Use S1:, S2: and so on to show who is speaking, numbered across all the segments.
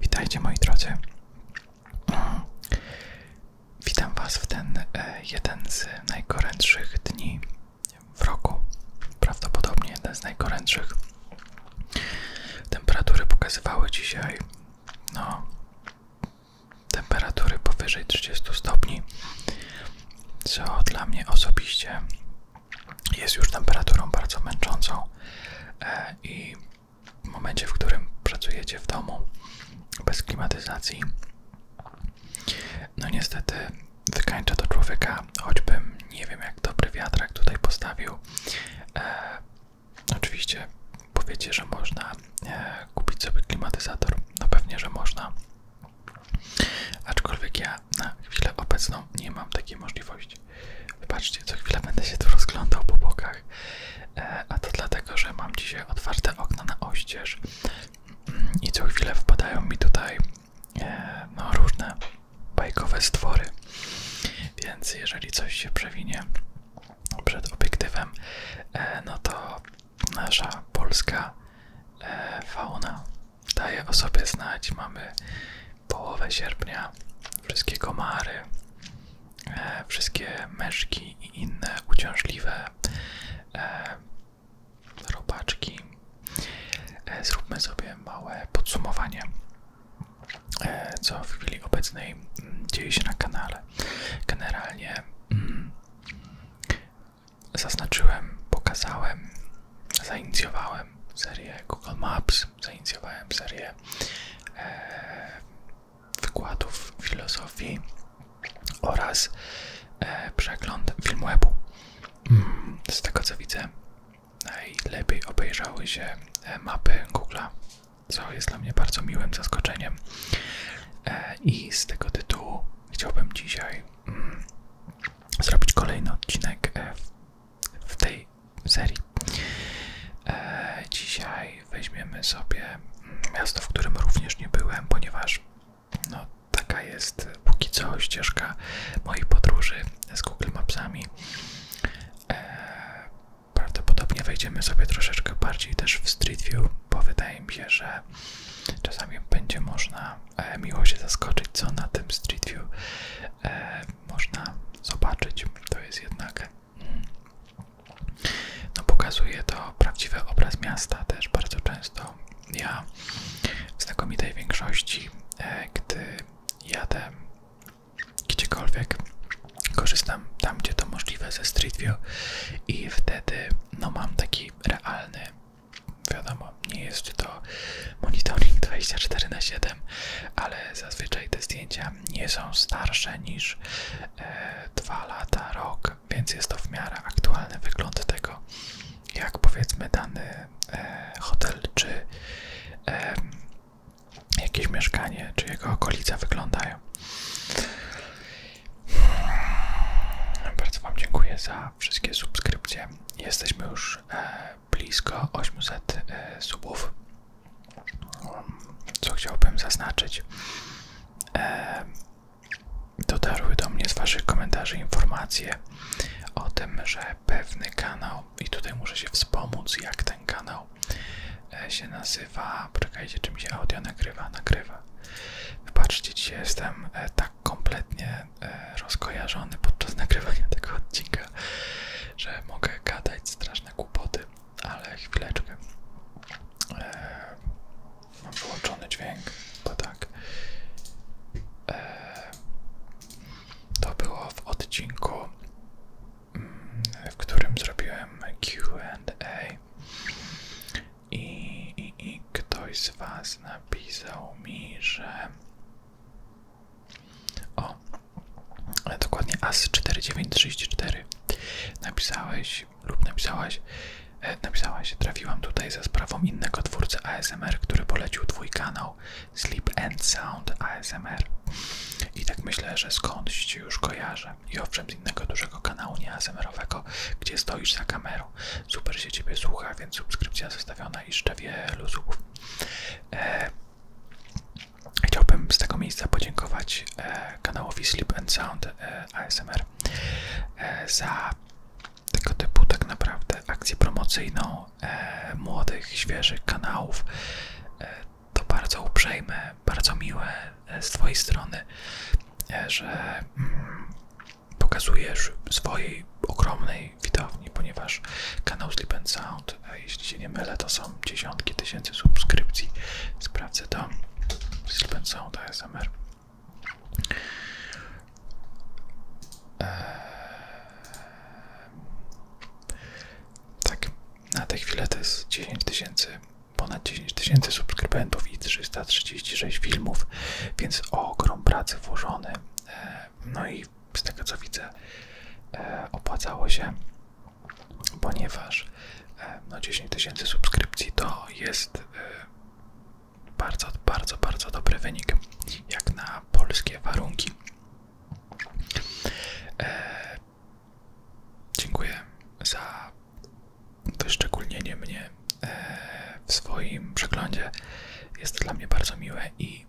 S1: Witajcie moi drodzy. Witam Was w ten e, jeden z najgorętszych dni w roku. Prawdopodobnie jeden z najgorętszych. Temperatury pokazywały dzisiaj no temperatury powyżej 30 stopni. Co dla mnie osobiście jest już temperaturą bardzo męczącą e, i w momencie, w którym pracujecie w domu bez klimatyzacji, no niestety wykańcza to człowieka, choćbym nie wiem jak dobry wiatrak tutaj postawił. E, oczywiście powiecie, że można e, kupić sobie klimatyzator, no pewnie, że można. Aczkolwiek ja na chwilę obecną nie mam takiej możliwości cześć. co chwilę będę się tu rozglądał po bokach, e, a to dlatego, że mam dzisiaj otwarte okna na oścież i co chwilę wpadają mi tutaj e, no, różne bajkowe stwory, więc jeżeli coś się przewinie przed obiektywem, e, no to nasza polska fauna daje o sobie znać. Mamy połowę sierpnia wszystkie komary, e, wszystkie meszki i inne uciążliwe e, robaczki. E, zróbmy sobie małe podsumowanie, e, co w chwili obecnej mm, dzieje się na kanale. Generalnie mm, zaznaczyłem, pokazałem, zainicjowałem serię Google Maps też zainicjowałem serię e, wykładów filozofii oraz e, przegląd filmwebu. Mm, z tego co widzę, najlepiej obejrzały się e, mapy Google'a, co jest dla mnie bardzo miłym zaskoczeniem. I z tego tytułu chciałbym dzisiaj mm, zrobić kolejny odcinek w tej serii. E, dzisiaj weźmiemy sobie miasto, w którym również nie byłem, ponieważ no, taka jest póki co ścieżka moich podróży z Google Mapsami. E, prawdopodobnie wejdziemy sobie troszeczkę bardziej też w Street View, bo wydaje mi się, że czasami będzie można e, miło się zaskoczyć, co na tym Street View e, można zobaczyć. To jest jednak no, pokazuje to prawdziwy obraz miasta też bardzo często. Ja w znakomitej większości, e, gdy jadę gdziekolwiek, korzystam tam, gdzie to możliwe ze Street View i wtedy no, mam taki realny, wiadomo, nie jest to monitoring 24 na 7, ale zazwyczaj te zdjęcia nie są starsze niż e, 2 lata, rok, więc jest to w miarę aktualny wygląd tego, jak powiedzmy dany e, hotel czy jakieś mieszkanie, czy jego okolica wyglądają. Bardzo Wam dziękuję za wszystkie subskrypcje. Jesteśmy już e, blisko 800 e, subów. Co chciałbym zaznaczyć, e, dotarły do mnie z Waszych komentarzy informacje o tym, że pewny kanał, i tutaj muszę się wspomóc, jak ten kanał e, się nazywa. Poczekajcie, czym się audio nagrywa? Nagrywa. Wybaczcie, dzisiaj jestem tak kompletnie rozkojarzony podczas nagrywania tego odcinka, że mogę gadać strasznie straszne kłopoty, ale chwileczkę. E, mam wyłączony dźwięk, bo tak. E, to było w odcinku, mm, w którym zrobiłem QA. I ktoś z Was napisał mi, że o, dokładnie AS4934 napisałeś lub napisałaś, e, napisałaś, trafiłam tutaj za sprawą innego twórcy ASMR, który polecił twój kanał Sleep and Sound ASMR i tak myślę, że skądś cię już kojarzę i owszem z innego dużego kanału nie ASMR-owego, gdzie stoisz za kamerą. Super się ciebie słucha, więc subskrypcja zostawiona i jeszcze wielu subów. E, Chciałbym z tego miejsca podziękować e, kanałowi Sleep and Sound e, ASMR e, za tego typu tak naprawdę akcję promocyjną młodych, świeżych kanałów. to bardzo uprzejme, bardzo miłe z Twojej strony, że mm, pokazujesz swojej ogromnej widowni, ponieważ kanał Sleep and Sound jeśli się nie mylę, to są dziesiątki tysięcy subskrypcji. Sprawdzę to. Silpen To ASMR. Eee, tak, na tę chwilę to jest 10 tysięcy, ponad 10 tysięcy subskrybentów i 336 filmów, więc ogrom pracy włożony. Eee, no i z tego co widzę, eee, opłacało się ponieważ e, no 10 tysięcy subskrypcji to jest e, bardzo, bardzo, bardzo dobry wynik, jak na polskie warunki. E, dziękuję za wyszczególnienie mnie w swoim przeglądzie. Jest to dla mnie bardzo miłe i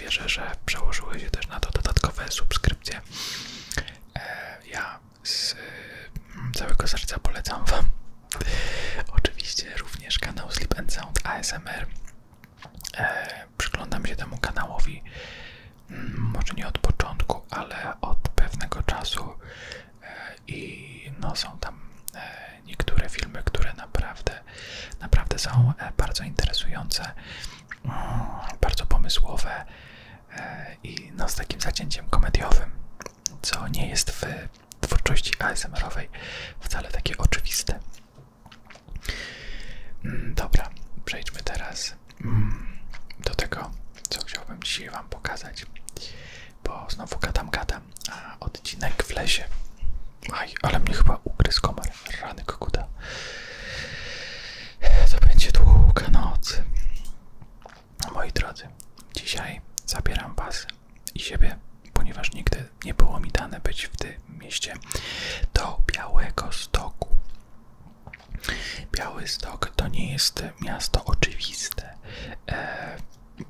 S1: wierzę, że przełożyły się też na to dodatkowe subskrypcje. E, ja z mm, całego serca polecam Wam oczywiście również kanał Sleep and Sound ASMR. E, przyglądam się temu kanałowi mm, może nie od początku, ale od pewnego czasu e, i no są tam niektóre filmy, które naprawdę, naprawdę są bardzo interesujące bardzo pomysłowe e, i no, z takim zacięciem komediowym, co nie jest w twórczości asmr wcale takie oczywiste. Mm, dobra, przejdźmy teraz mm, do tego, co chciałbym dzisiaj Wam pokazać, bo znowu gadam, gadam, a odcinek w lesie. Aj, ale mnie chyba ugryzł komar rany koguta. To będzie długa noc. Moi drodzy, dzisiaj zabieram was i siebie, ponieważ nigdy nie było mi dane być w tym mieście, do Białego Stoku. Biały Stok to nie jest miasto oczywiste. E,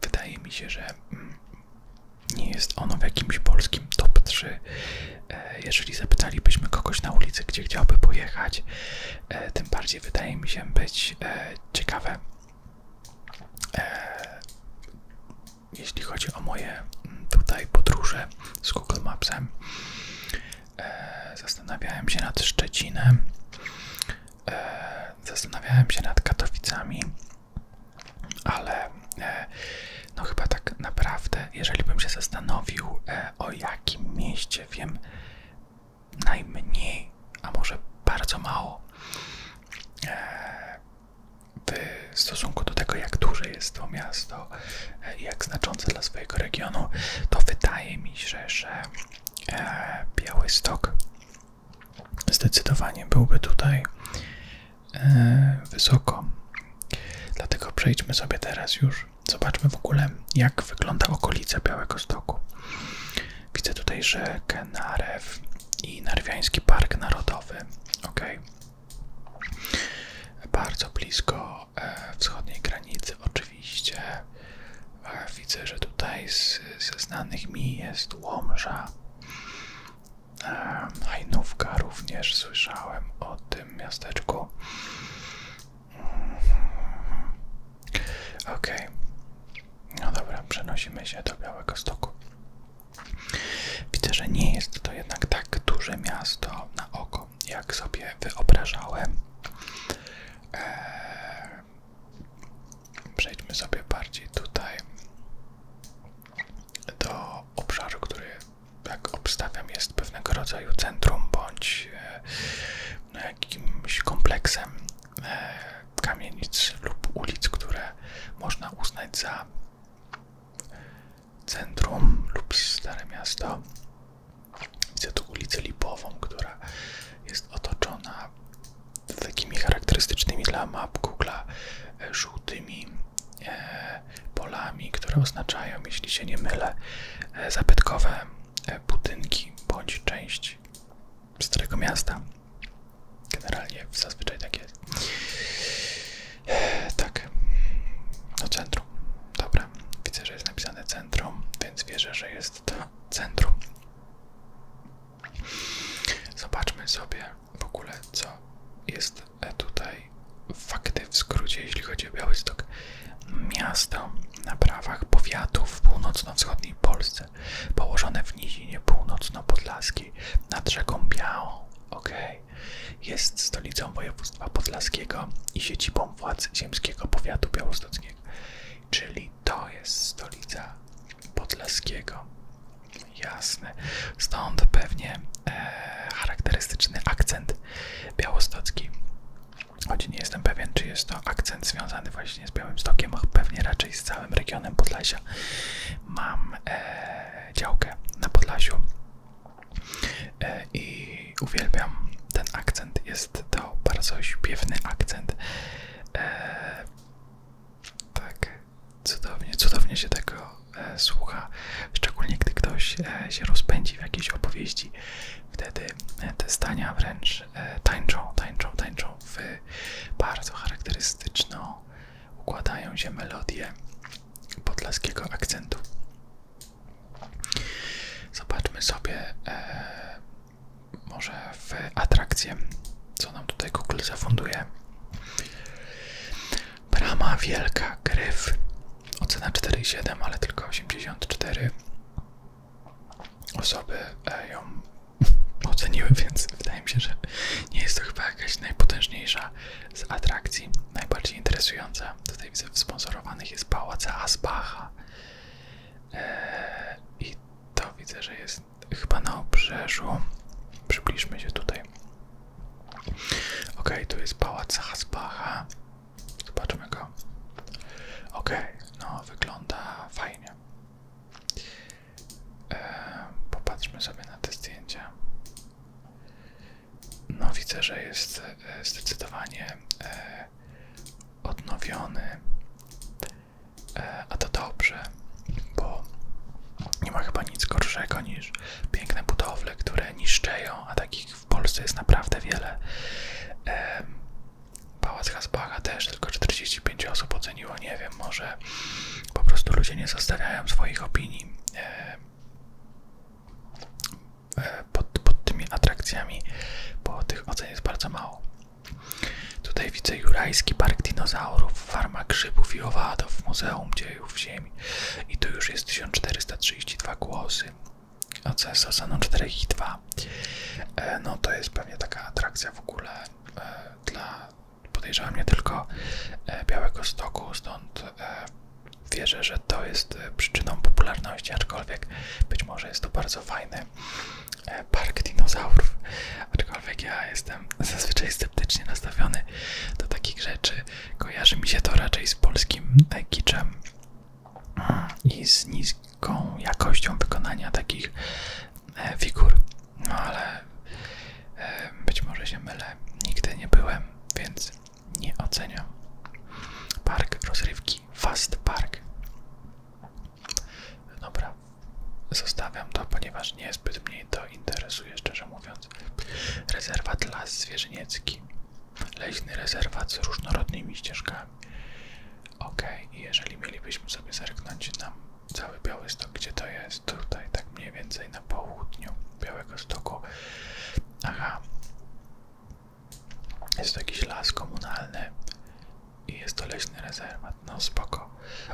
S1: wydaje mi się, że mm, nie jest ono w jakimś polskim top 3 E, jeżeli zapytalibyśmy kogoś na ulicy, gdzie chciałby pojechać, e, tym bardziej wydaje mi się być e, ciekawe, jeśli chodzi o moje mm, tutaj podróże z Google Mapsem. Zastanawiałem się nad Szczecinem, zastanawiałem się nad Katowicami, ale no chyba tak naprawdę, jeżeli bym się zastanowił, e, o jakim mieście wiem najmniej, a może bardzo mało, e, w stosunku do tego, jak duże jest to miasto e, i jak znaczące dla swojego regionu, to wydaje mi się, że e, Białystok zdecydowanie byłby tutaj E, wysoko. Dlatego przejdźmy sobie teraz już. Zobaczmy w ogóle, jak wygląda okolica Białego Stoku. Widzę tutaj rzekę Narew i Narwiański Park Narodowy. Ok. Bardzo blisko e, wschodniej granicy, oczywiście. E, widzę, że tutaj z, ze znanych mi jest Łomża. Hajnówka również słyszałem o tym miasteczku. Ok, no dobra, przenosimy się do Białego Stoku. Widzę, że nie jest to jednak tak duże miasto na oko, jak sobie wyobrażałem. Eee, przejdźmy sobie bardziej tutaj do obszaru, który, jak obstawiam, jest pewnego rodzaju centrum bądź e, e, jakimś kompleksem e, kamienic lub ulic, które można uznać za centrum lub stare miasto. Widzę tu ulicę Lipową, która jest otoczona takimi charakterystycznymi dla map Google'a żółtymi E, polami, które oznaczają, jeśli się nie mylę, e, zabytkowe e, budynki bądź część starego miasta. Generalnie zazwyczaj tak jest. Tak, no centrum. Dobra, widzę, że jest napisane centrum, więc wierzę, że jest to centrum. Zobaczmy sobie w ogóle, co jest E, tutaj fakty w skrócie, jeśli chodzi o Białystok. Miasto na prawach powiatu w północno-wschodniej Polsce, położone w nizinie północno-podlaskiej nad rzeką Białą. Okay. Jest stolicą województwa podlaskiego i siedzibą władz ziemskiego powiatu białostockiego. Czyli to jest stolica podlaskiego. Jasne. Stąd pewnie e, charakterystyczny akcent białostocki. Choć nie jestem pewien, czy jest to akcent związany właśnie z Białymstokiem, a pewnie raczej z całym regionem Podlasia. Mam e, działkę na Podlasiu e, i uwielbiam ten akcent. Jest to bardzo śpiewny akcent. tak, cudownie, cudownie się tego E, słucha, szczególnie gdy ktoś e, się rozpędzi w jakiejś opowieści, wtedy e, te stania wręcz tańczą, tańczą, tańczą w bardzo charakterystyczną układają się melodie podlaskiego akcentu. Zobaczmy sobie może w atrakcję, co nam tutaj Google zafunduje. Brama Wielka Gryf. Ocena 4,7, ale tylko 84 osoby e, ją oceniły, więc wydaje mi się, że nie jest to chyba jakaś najpotężniejsza z atrakcji. Najbardziej interesująca tutaj widzę w sponsorowanych jest Pałac Asbacha. E, I to widzę, że jest chyba na obrzeżu. Przybliżmy się tutaj. Ok, tu jest pałac Hasbacha. Zobaczmy go. Ok, no wygląda fajnie. popatrzmy sobie na te zdjęcia. No widzę, że jest e, zdecydowanie e, odnowiony. E, a to dobrze, bo nie ma chyba nic gorszego niż piękne budowle, które niszczeją, a takich w Polsce jest naprawdę wiele. Pałac Hasbacha też tylko 45 osób oceniło, nie wiem, może po prostu ludzie nie zostawiają swoich opinii e, pod, tymi atrakcjami, bo tych ocen jest bardzo mało. Tutaj widzę Jurajski Park Dinozaurów, Farma Grzybów i Owadów, Muzeum Dziejów Ziemi. I tu już jest 1432 głosy, a co jest zasadą 4,2. E, no to jest pewnie taka atrakcja w ogóle e, dla, podejrzewam, nie tylko e, Białego Stoku, stąd e, wierzę, że to jest e, przyczyną popularności, aczkolwiek być może jest to bardzo fajny park dinozaurów, aczkolwiek ja jestem zazwyczaj sceptycznie nastawiony do takich rzeczy, kojarzy mi się to raczej z polskim kiczem i z niską jakością wykonania takich e, figur. No ale e, być może się mylę, nigdy nie byłem, więc nie oceniam. Park rozrywki Fast Park. Dobra, zostawiam to, ponieważ niezbyt mnie to interesuje, szczerze mówiąc. Rezerwat Las Zwierzyniecki. Leśny rezerwat z różnorodnymi ścieżkami. Ok, i jeżeli mielibyśmy sobie zerknąć nam cały biały stok? gdzie to jest? Tutaj, tak mniej więcej na południu Białego Stoku. Aha, jest to jakiś las komunalny i jest to leśny rezerwat. No spoko.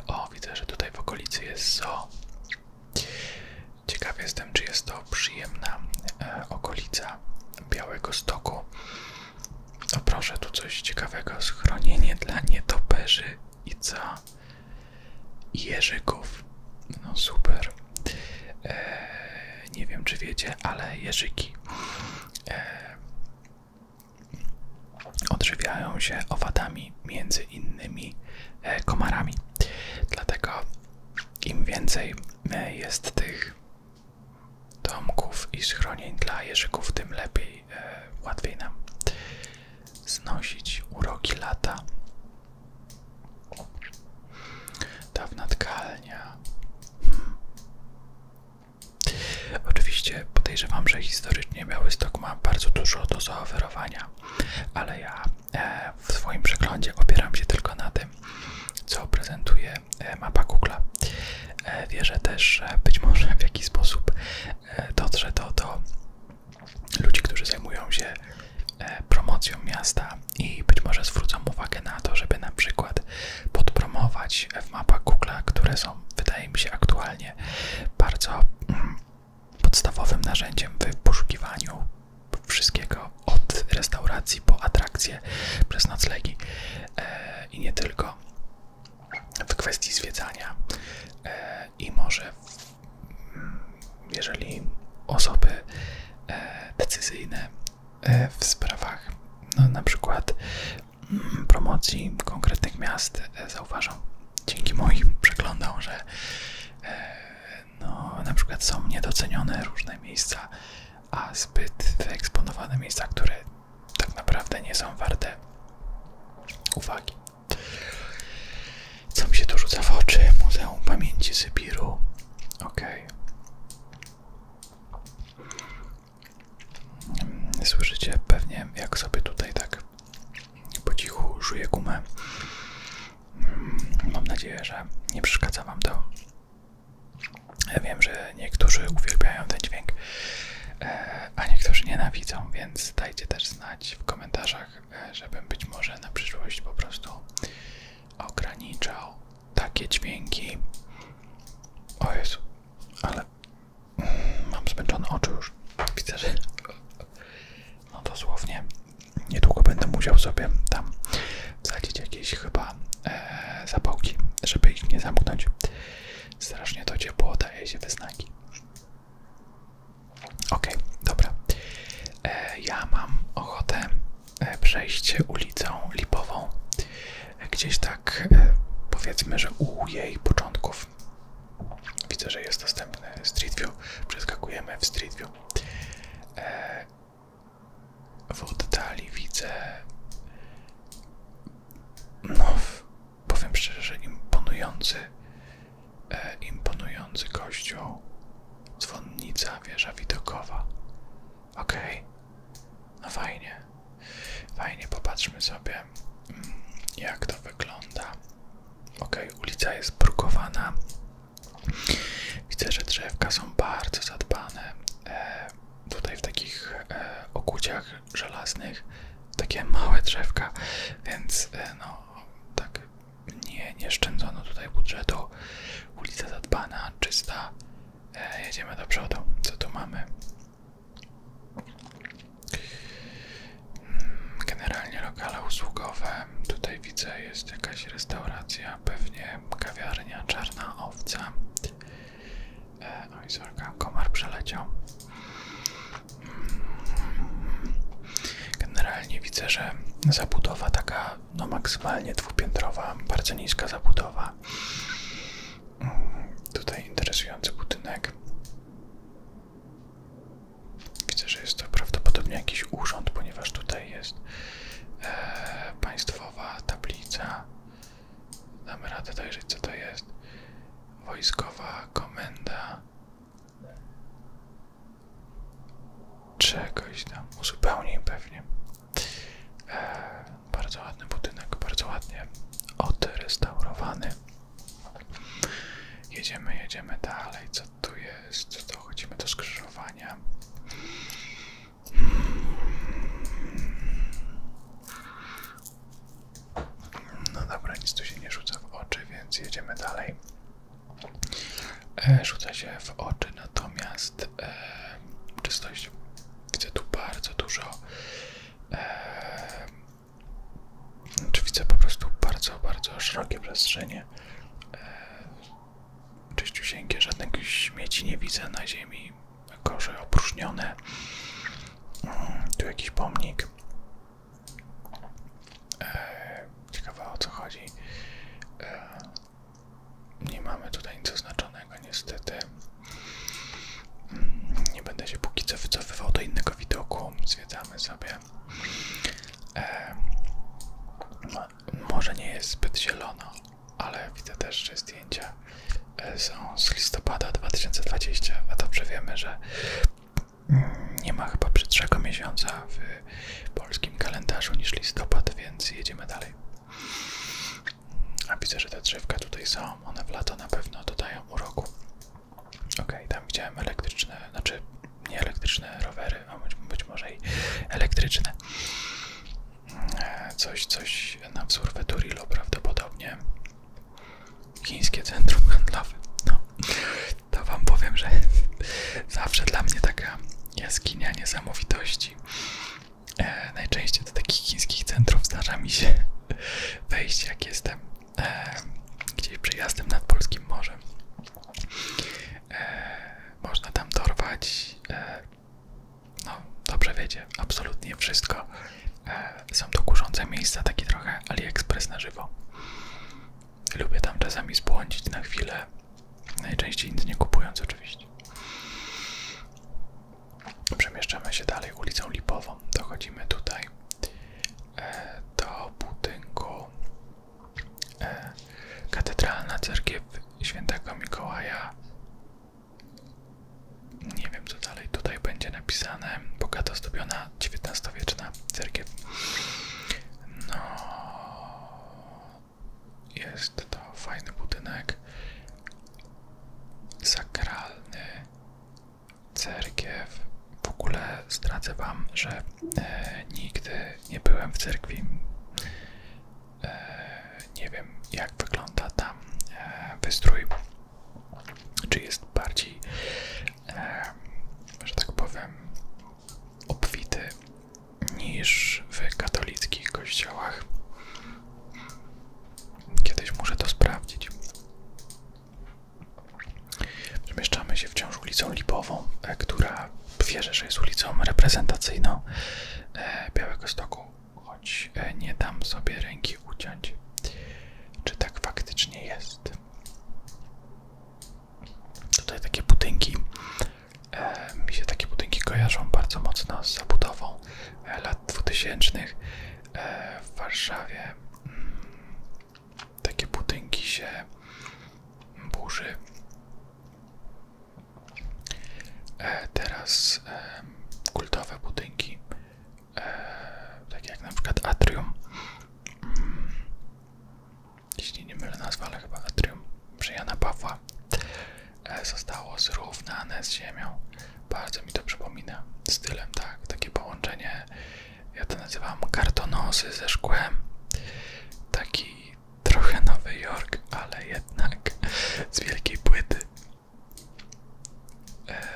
S1: O, widzę, że tutaj w okolicy jest zoo. Ciekaw jestem, czy jest to przyjemna e, okolica Białego Stoku. O proszę, tu coś ciekawego. Schronienie dla nietoperzy i co? Jerzyków. No super. E, nie wiem, czy wiecie, ale jeżyki e, odżywiają się owadami, między innymi komarami. Dlatego im więcej jest tych domków i schronień dla jeżyków, tym lepiej, e, łatwiej nam znosić uroki lata. Dawna tkalnia. Hmm. Oczywiście podejrzewam, że historycznie Białystok ma bardzo dużo do zaoferowania, ale ja E, w swoim przeglądzie opieram się tylko na tym, co prezentuje e, mapa Google. E, wierzę też, że być może w jakiś sposób dotrze to do ludzi, którzy zajmują się promocją miasta i być może zwrócą uwagę na to, żeby na przykład podpromować w mapach Google, które są, wydaje mi się, aktualnie bardzo mm, podstawowym narzędziem w poszukiwaniu wszystkiego od restauracji po atrakcje przez noclegi e, i nie tylko w kwestii zwiedzania e, i może mm, jeżeli osoby e, decyzyjne w sprawach no, na przykład mm, promocji konkretnych miast e, zauważą dzięki moim przeglądom, że no, na przykład są niedocenione różne miejsca, a zbyt wyeksponowane miejsca, które tak naprawdę nie są warte uwagi. Co mi się tu rzuca w oczy? Muzeum Pamięci Sybiru. ok mm, Słyszycie pewnie, jak sobie tutaj tak po cichu żuję gumę. Mam nadzieję, że nie przeszkadza Wam to. Ja wiem, że niektórzy uwielbiają ten dźwięk, e, a niektórzy nienawidzą, więc dajcie też znać w komentarzach, e, żebym być może na przyszłość po prostu ograniczał takie dźwięki. O Jezu, ale mam zmęczone oczy już. Widzę, że no dosłownie niedługo będę musiał sobie tam wsadzić jakieś chyba e, zapałki, żeby ich nie zamknąć. Strasznie to ciepło daje się wyznaki. Okej, dobra. E, ja mam ochotę e, przejść ulicą Lipową. E, gdzieś tak powiedzmy, że u jej początków. Widzę, że jest dostępny Street View. Przeskakujemy w Street View. E, w oddali widzę, no powiem szczerze, że imponujący, e, imponujący kościół, dzwonnica, wieża widokowa. OK, no fajnie, fajnie, popatrzmy sobie mm, jak to wygląda. OK, ulica jest brukowana, Widzę, że drzewka są bardzo zadbane. E, tutaj w takich e, okuciach żelaznych takie małe drzewka, więc e, no tak nie, nie szczędzono tutaj budżetu. Ulica zadbana, czysta. jedziemy do przodu. Co tu mamy? Generalnie lokale usługowe. Tutaj widzę, jest jakaś restauracja, pewnie kawiarnia, czarna owca. E, no i sorka, komar przeleciał. Generalnie widzę, że zabudowa taka no maksymalnie dwupiętrowa, bardzo niska zabudowa. Mm, tutaj interesujący budynek. Widzę, że jest to prawdopodobnie jakiś urząd, ponieważ tutaj jest e, państwowa tablica. Damy radę dojrzeć, co to jest. Wojskowa komenda czegoś tam. Uzupełnij pewnie. E, bardzo ładny budynek, bardzo ładnie odrestaurowany. Jedziemy, jedziemy dalej. Co tu jest? to chodzimy do skrzyżowania. No dobra, nic tu się nie rzuca w oczy, więc jedziemy dalej. E, rzuca się w oczy natomiast e, czystość. Widzę tu bardzo dużo. E, czy widzę po prostu bardzo, bardzo szerokie przestrzenie e, czyściusieńkie, żadnych śmieci nie widzę na ziemi, korze opróżnione, mm, tu jakiś pomnik, e, ciekawe o co chodzi, e, nie mamy tutaj nic oznaczonego niestety. Mm, nie będę się póki co wycofywał do innego widoku. Zwiedzamy sobie. E, może nie jest zbyt zielono, ale widzę też, że zdjęcia e, są z listopada 2020, a dobrze wiemy, że mm, nie ma chyba brzydszego miesiąca w polskim kalendarzu niż listopad, więc jedziemy dalej. A widzę, że te drzewka tutaj są, one w lato na pewno dodają uroku. Ok, tam widziałem elektryczne, znaczy nieelektryczne rowery, a być, być może i elektryczne. E, coś, coś na wzór Veturilo prawdopodobnie. Chińskie centrum handlowe. No, to wam powiem, że zawsze dla mnie taka jaskinia niesamowitości. E, najczęściej do takich chińskich centrów zdarza mi się wejść, jak jestem e, gdzieś przejazdem nad Polskim Morzem E, można tam dorwać, e, no dobrze wiecie, absolutnie wszystko. E, są to kurzące miejsca, takie trochę AliExpress na żywo. Lubię tam czasami zbłądzić na chwilę, najczęściej nic nie kupując oczywiście. Przemieszczamy się dalej ulicą Lipową, dochodzimy tutaj do budynku E, katedralna Cerkiew św. Mikołaja. Nie wiem co dalej tutaj będzie napisane. Bogato zdobiona XIX-wieczna cerkiew. No, jest to fajny budynek. Sakralny cerkiew. W ogóle zdradzę Wam, że e, nigdy nie byłem w cerkwi. E, nie wiem, jak wygląda tam e, wystrój. Czy jest bardziej, e, że tak powiem, obfity niż w katolickich kościołach. Kiedyś muszę to sprawdzić. Przemieszczamy się wciąż ulicą Lipową, e, która wierzę, że jest ulicą reprezentacyjną e, Białego Stoku, choć e, nie dam sobie ręki uciąć, czy tak faktycznie jest. Tutaj takie budynki, mi się takie budynki kojarzą bardzo mocno z zabudową lat 2000 w Warszawie. Mm, takie budynki się burzy. E, teraz e, kultowe budynki, e, takie jak na przykład Atrium, mm, jeśli nie mylę nazwę, ale chyba Atrium przy Jana zostało zrównane z ziemią. Bardzo mi to przypomina stylem, tak, takie połączenie ja to nazywam kartonosy ze szkłem. Taki trochę Nowy Jork, ale jednak z wielkiej płyty. E,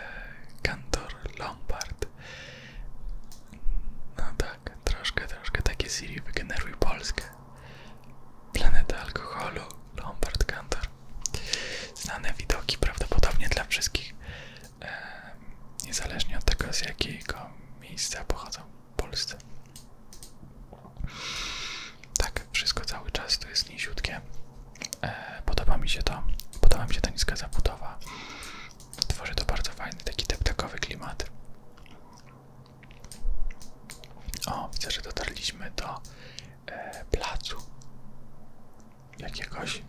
S1: Kantor Lombard. No tak, troszkę, troszkę takie Siri wygeneruj Polskę. Planeta alkoholu, Lombard Kantor. Znane widoki prawdopodobnie dla wszystkich niezależnie od tego, z jakiego miejsca pochodzą w Polsce. Tak, wszystko cały czas to jest niziutkie. E, podoba mi się to, podoba mi się ta niska zabudowa. Tworzy to bardzo fajny, taki deptakowy klimat. O, widzę, że dotarliśmy do e, placu jakiegoś.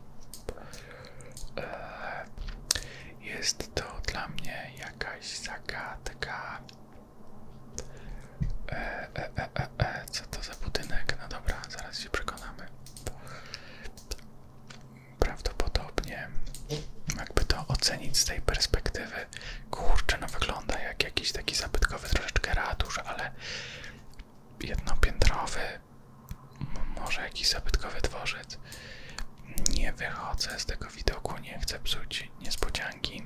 S1: E, jest to dla mnie jakaś zagadka. E, e, e, e, Co to za budynek? No dobra, zaraz się przekonamy. Prawdopodobnie, jakby to ocenić z tej perspektywy, kurczę, no wygląda jak jakiś taki zabytkowy troszeczkę radusz, ale jednopiętrowy, może jakiś zabytkowy dworzec. Nie wychodzę z tego widoku, nie chcę psuć niespodzianki.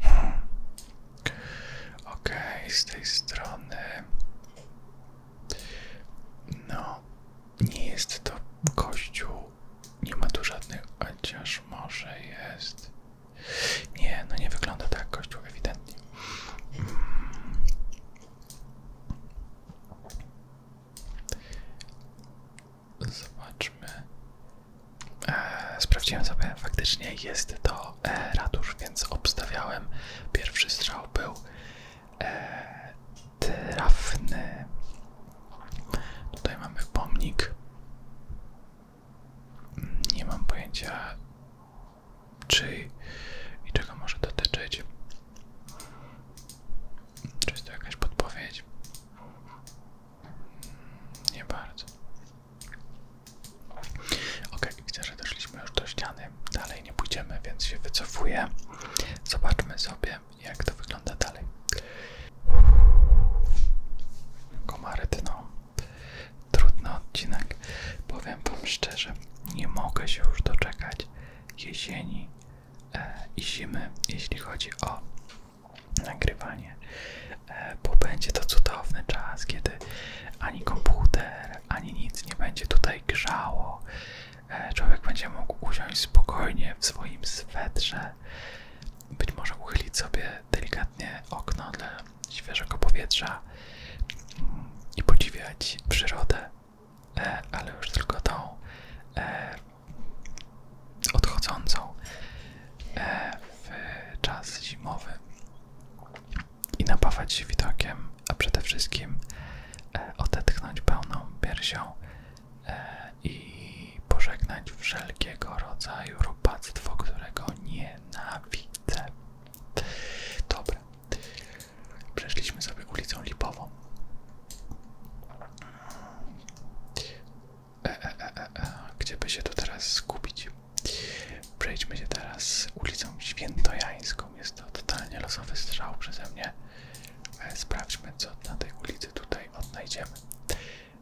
S1: Hmm. Okej, z tej strony. No, nie jest to kościół. Nie ma tu żadnych, chociaż może jest. Nie, no nie wygląda tak kościół ewidentnie. Hmm. Zobaczmy. E, sprawdziłem sobie, faktycznie jest to e, więc obstawiałem. Pierwszy strzał był e, trafny. Tutaj mamy pomnik. Nie mam pojęcia, czy i czego może dotyczyć. Czy jest to jakaś podpowiedź? Nie bardzo. Ok, widzę, że doszliśmy już do ściany. Dalej nie pójdziemy, więc się wycofuję. Zobaczmy sobie, jak to wygląda dalej. Komary dno. Trudny odcinek. Powiem Wam szczerze, nie mogę się już doczekać, jesieni e, i zimy, jeśli chodzi o nagrywanie, e, bo będzie to cudowny czas, kiedy ani komputer, ani nic nie będzie tutaj grzało. E, człowiek będzie mógł usiąść spokojnie w swoim swetrze, być może uchylić sobie delikatnie okno dla świeżego powietrza mm, i podziwiać przyrodę. E, ale już tylko tą e, odchodzącą e, w czas zimowy i napawać się widokiem, a przede wszystkim e, odetchnąć pełną piersią e, i pożegnać wszelkiego rodzaju robactwo, którego nie nawidzę. Dobra, Przeszliśmy sobie ulicą Lipową. E, e, e, Gdzie by się teraz skupić? Przejdźmy się teraz ulicą Świętojańską. Jest to totalnie losowy strzał przeze mnie. Sprawdźmy, co na tej ulicy tutaj odnajdziemy.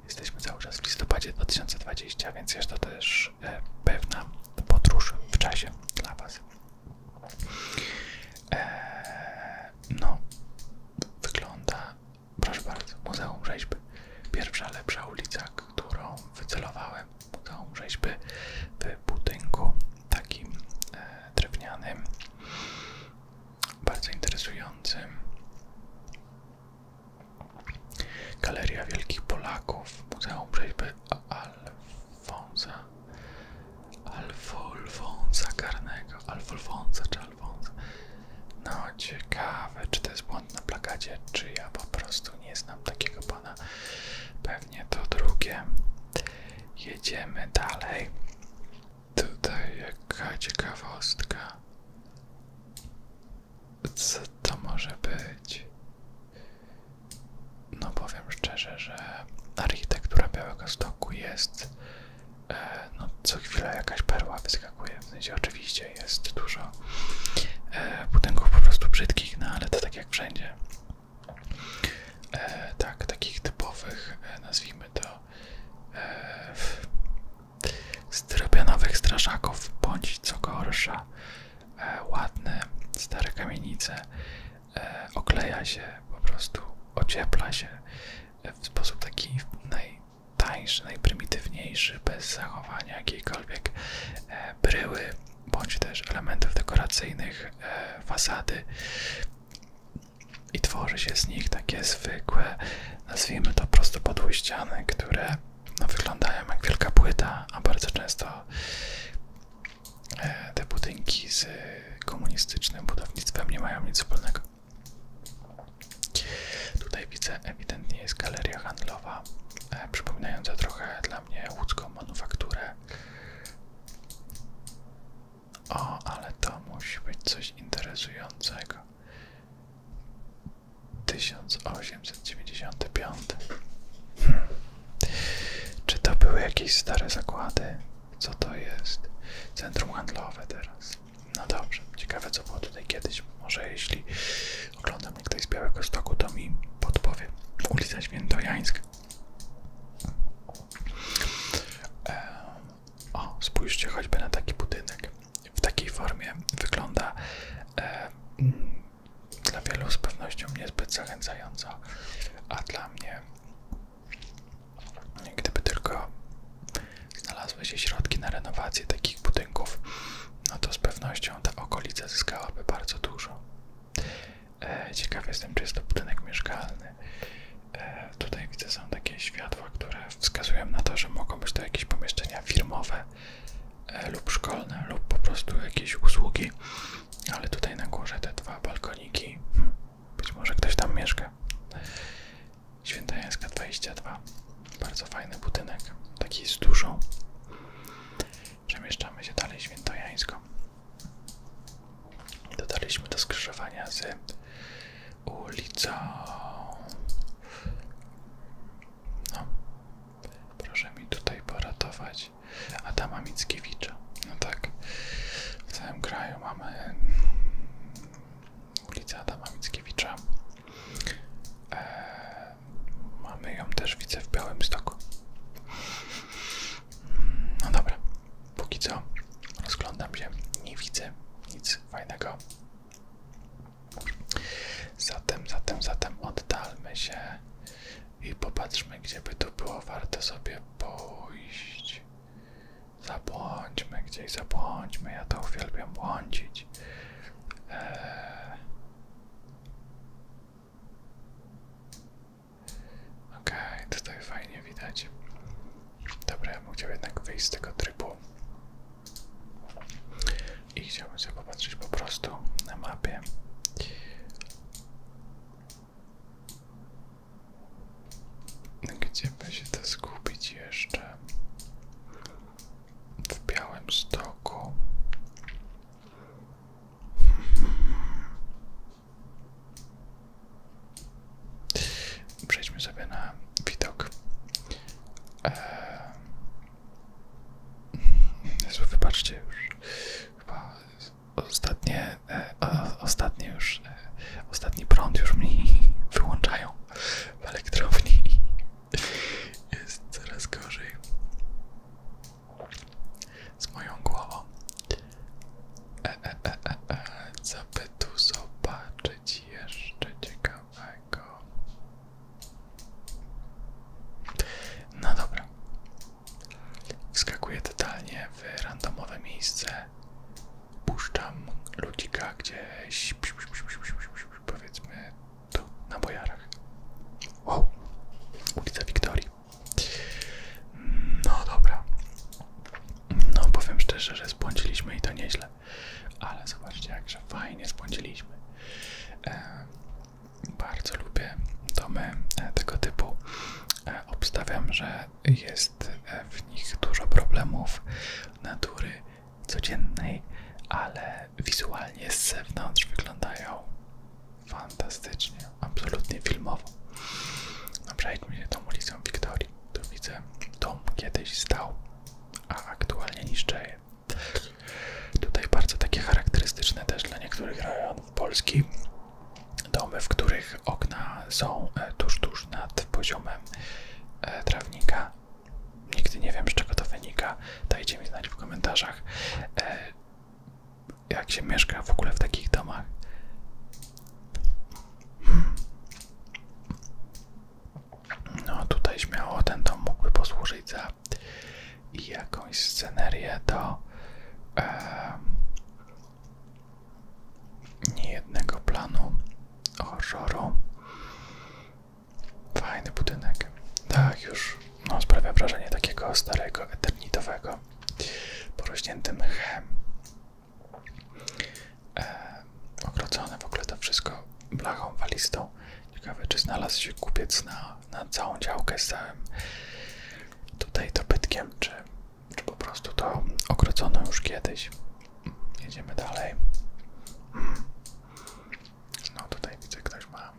S1: Jesteśmy cały czas w listopadzie 2020, więc jest to też pewna podróż w czasie dla Was. Eee, no, wygląda, proszę bardzo, Muzeum Rzeźby. Pierwsza lepsza ulica, którą wycelowałem. Muzeum Rzeźby w budynku takim eee, drewnianym, bardzo interesującym. Galeria Wielkich Polaków, Muzeum Rzeźby Alfonsa Alfolfonsa Karnego, Alfolfonsa czy Alfonsa. No ciekawe, czy to jest błąd na plakacie, czy ja po prostu nie znam takiego pana. Pewnie to drugie. Jedziemy dalej. Tutaj jaka ciekawostka. Co to może być? no powiem szczerze, że architektura Białego Stoku jest e, no co chwila jakaś perła wyskakuje, w sensie oczywiście jest dużo e, budynków po prostu brzydkich, no ale to tak jak wszędzie. E, tak, takich typowych, nazwijmy to e, styropianowych straszaków, bądź co gorsza, e, ładne stare kamienice, E, okleja się, po prostu ociepla się e, w sposób taki najtańszy, najprymitywniejszy, bez zachowania jakiejkolwiek e, bryły bądź też elementów dekoracyjnych fasady i tworzy się z nich takie zwykłe, nazwijmy to prosto podły ściany, które no, wyglądają jak wielka płyta, a bardzo często te budynki z komunistycznym budownictwem nie mają nic wspólnego. Tutaj widzę ewidentnie jest galeria handlowa, e, przypominająca trochę dla mnie łódzką manufakturę. O, ale to musi być coś interesującego. 1895. Hmm. Czy to były jakieś stare zakłady? Co to jest? Centrum handlowe teraz. No dobrze, ciekawe co było tutaj kiedyś. Może jeśli oglądam mnie ktoś z Białego stołu, to mi podpowie. Ulica Świętojańska. E, o, spójrzcie choćby na taki budynek. W takiej formie wygląda e, mm, dla wielu z pewnością niezbyt zachęcająco, a dla mnie Gdyby tylko znalazły się środki na renowację takich budynków, no to z pewnością ta okolica zyskałaby bardzo dużo. E, ciekaw jestem, czy jest to budynek mieszkalny. E, tutaj widzę, są takie światła, które wskazują na to, że mogą być to jakieś pomieszczenia firmowe e, lub szkolne, lub po prostu jakieś usługi. Ale tutaj na górze te dwa balkoniki. Hmm, być może ktoś tam mieszka. Świętojańska Jańska 22. Bardzo fajny budynek. Taki z dużą. Przemieszczamy się dalej świętojańsko. Dodaliśmy do skrzyżowania z ulicą. No, proszę mi tutaj poratować szukać Adama Mickiewicza. No tak, w całym kraju mamy mm, ulicę Adama Mickiewicza. E, mamy ją też, widzę, w Białymstoku. Mm, no dobra, póki co rozglądam się, nie widzę nic fajnego. Zatem, zatem, zatem oddalmy się i popatrzmy, gdzie by tu było warto sobie pójść. Zabłądźmy gdzieś, zabłądźmy, ja to uwielbiam błądzić. Eee... okay, tutaj fajnie widać. Dobra, ja bym chciał jednak wyjść z tego trybu. I chciałbym sobie popatrzeć po prostu na mapie. Gdzie by się to skupić jeszcze? W białym stoku. Przejdźmy sobie na widok. Eee... wybaczcie już ostatnie, e, ostatnie już, e, ostatni prąd już mi wyłączają w elektrowni. Jest coraz gorzej z moją głową. E, e, e, e, e. tu zobaczyć jeszcze ciekawego? No dobra, Wskakuję totalnie w randomowe miejsce. Puszczam ludzika gdzieś, powiedzmy tu, na bojarach. Wow, ulica Wiktorii. No dobra. No powiem szczerze, że spłądziliśmy i to nieźle. Ale zobaczcie, jakże fajnie spłądziliśmy. E, bardzo lubię domy e, tego typu. Obstawiam, że jest w nich dużo problemów natury codziennej, ale wizualnie z zewnątrz wyglądają fantastycznie, absolutnie filmowo. No przejdźmy się tą ulicą Wiktorii. Tu widzę dom kiedyś stał, a aktualnie niszczy. Tutaj bardzo takie charakterystyczne też dla niektórych rejonów Polski domy, w których okna są e, tuż, tuż nad poziomem e, trawnika. Nigdy nie wiem, z czego to wynika. Dajcie mi znać w komentarzach, e, jak się mieszka w ogóle w takich domach. Hmm. No, tutaj śmiało ten dom mógłby posłużyć za jakąś scenerię do e, niejednego planu horroru. Fajny budynek. Tak, już no, sprawia wrażenie takiego starego, eternitowego, porośniętym mchem. E, w ogóle to wszystko blachą walistą. Ciekawe, czy znalazł się kupiec na, na całą działkę z całym tutaj dobytkiem, czy, czy po prostu to okrocono już kiedyś. Jedziemy dalej. No tutaj widzę, ktoś ma.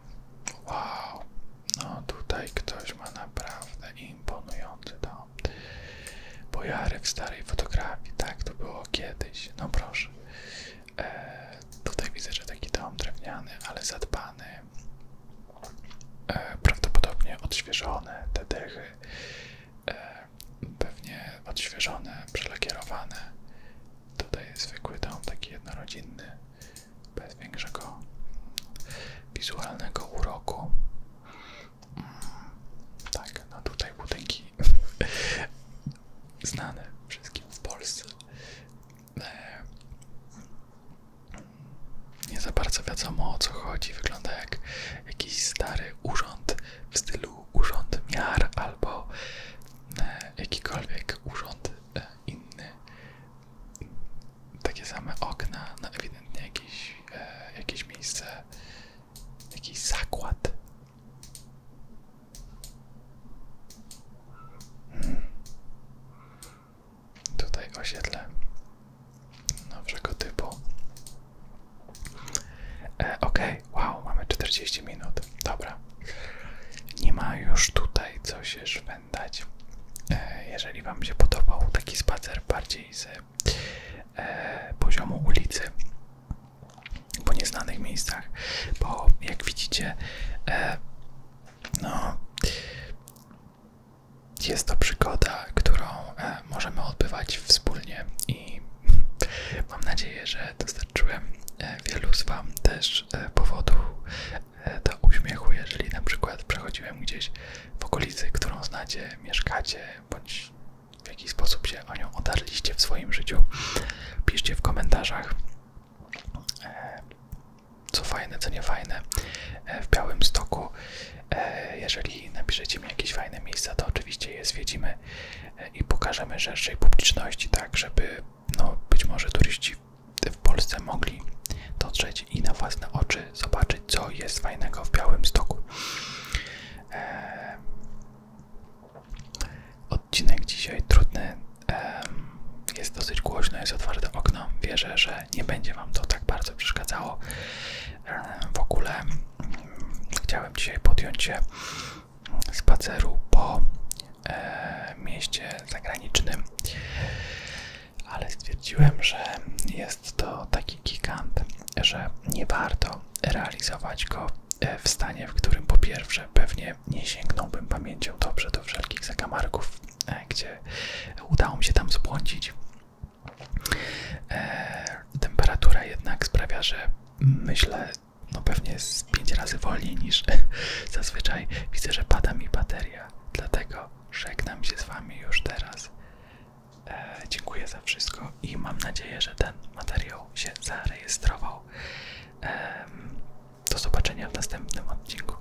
S1: Wow! No tutaj ktoś ma naprawdę imponujący dom. Bojarek starej fotografii, tak to było kiedyś. No proszę. E, tutaj widzę, że taki dom drewniany, ale zadbany. E, prawdopodobnie odświeżone te dechy, e, pewnie odświeżone, przelakierowane. Tutaj zwykły dom, taki jednorodzinny, bez większego wizualnego uroku. Mm, tak, no tutaj budynki znane wszystkim w Polsce. E, nie za bardzo wiadomo o co chodzi. Wygląda jak jakiś stary urząd w stylu urząd miar albo e, jakikolwiek urząd e, inny. Takie same okna, no ewidentnie jakieś, e, jakieś miejsce, jakiś zakład. Hmm tutaj osiedle nowszego typu. E, ok wow, mamy 40 minut. Dobra. Nie ma już tutaj co się szwendać. E, jeżeli Wam się podobał taki spacer bardziej z e, poziomu ulicy po nieznanych miejscach, bo jak widzicie, no jest to przygoda, którą e, możemy odbywać wspólnie i mam nadzieję, że dostarczyłem e, wielu z Wam też e, powodu do uśmiechu, jeżeli na przykład przechodziłem gdzieś w okolicy, którą znacie, mieszkacie, bądź w jakiś sposób się o nią otarliście w swoim życiu. Piszcie w komentarzach co fajne, co nie fajne e, w Białym Stoku. E, jeżeli napiszecie mi jakieś fajne miejsca, to oczywiście je zwiedzimy e, i pokażemy szerszej publiczności, tak żeby no, być może turyści w Polsce mogli dotrzeć i na własne oczy zobaczyć, co jest fajnego w Białym Stoku. Odcinek dzisiaj trudny. Jest dosyć głośno, jest otwarte okno. Wierzę, że nie będzie Wam to tak bardzo przeszkadzało. E, w ogóle mm, chciałem dzisiaj podjąć się spaceru po e, mieście zagranicznym, ale stwierdziłem, że jest to taki gigant, że nie warto realizować go e, w stanie, w którym po pierwsze pewnie nie sięgnąłbym pamięcią dobrze do wszelkich zakamarków E, gdzie udało mi się tam zbłądzić. E, temperatura jednak sprawia, że myślę, no pewnie jest 5 razy wolniej niż zazwyczaj. Widzę, że pada mi bateria, dlatego żegnam się z Wami już teraz. E, dziękuję za wszystko i mam nadzieję, że ten materiał się zarejestrował. do zobaczenia w następnym odcinku.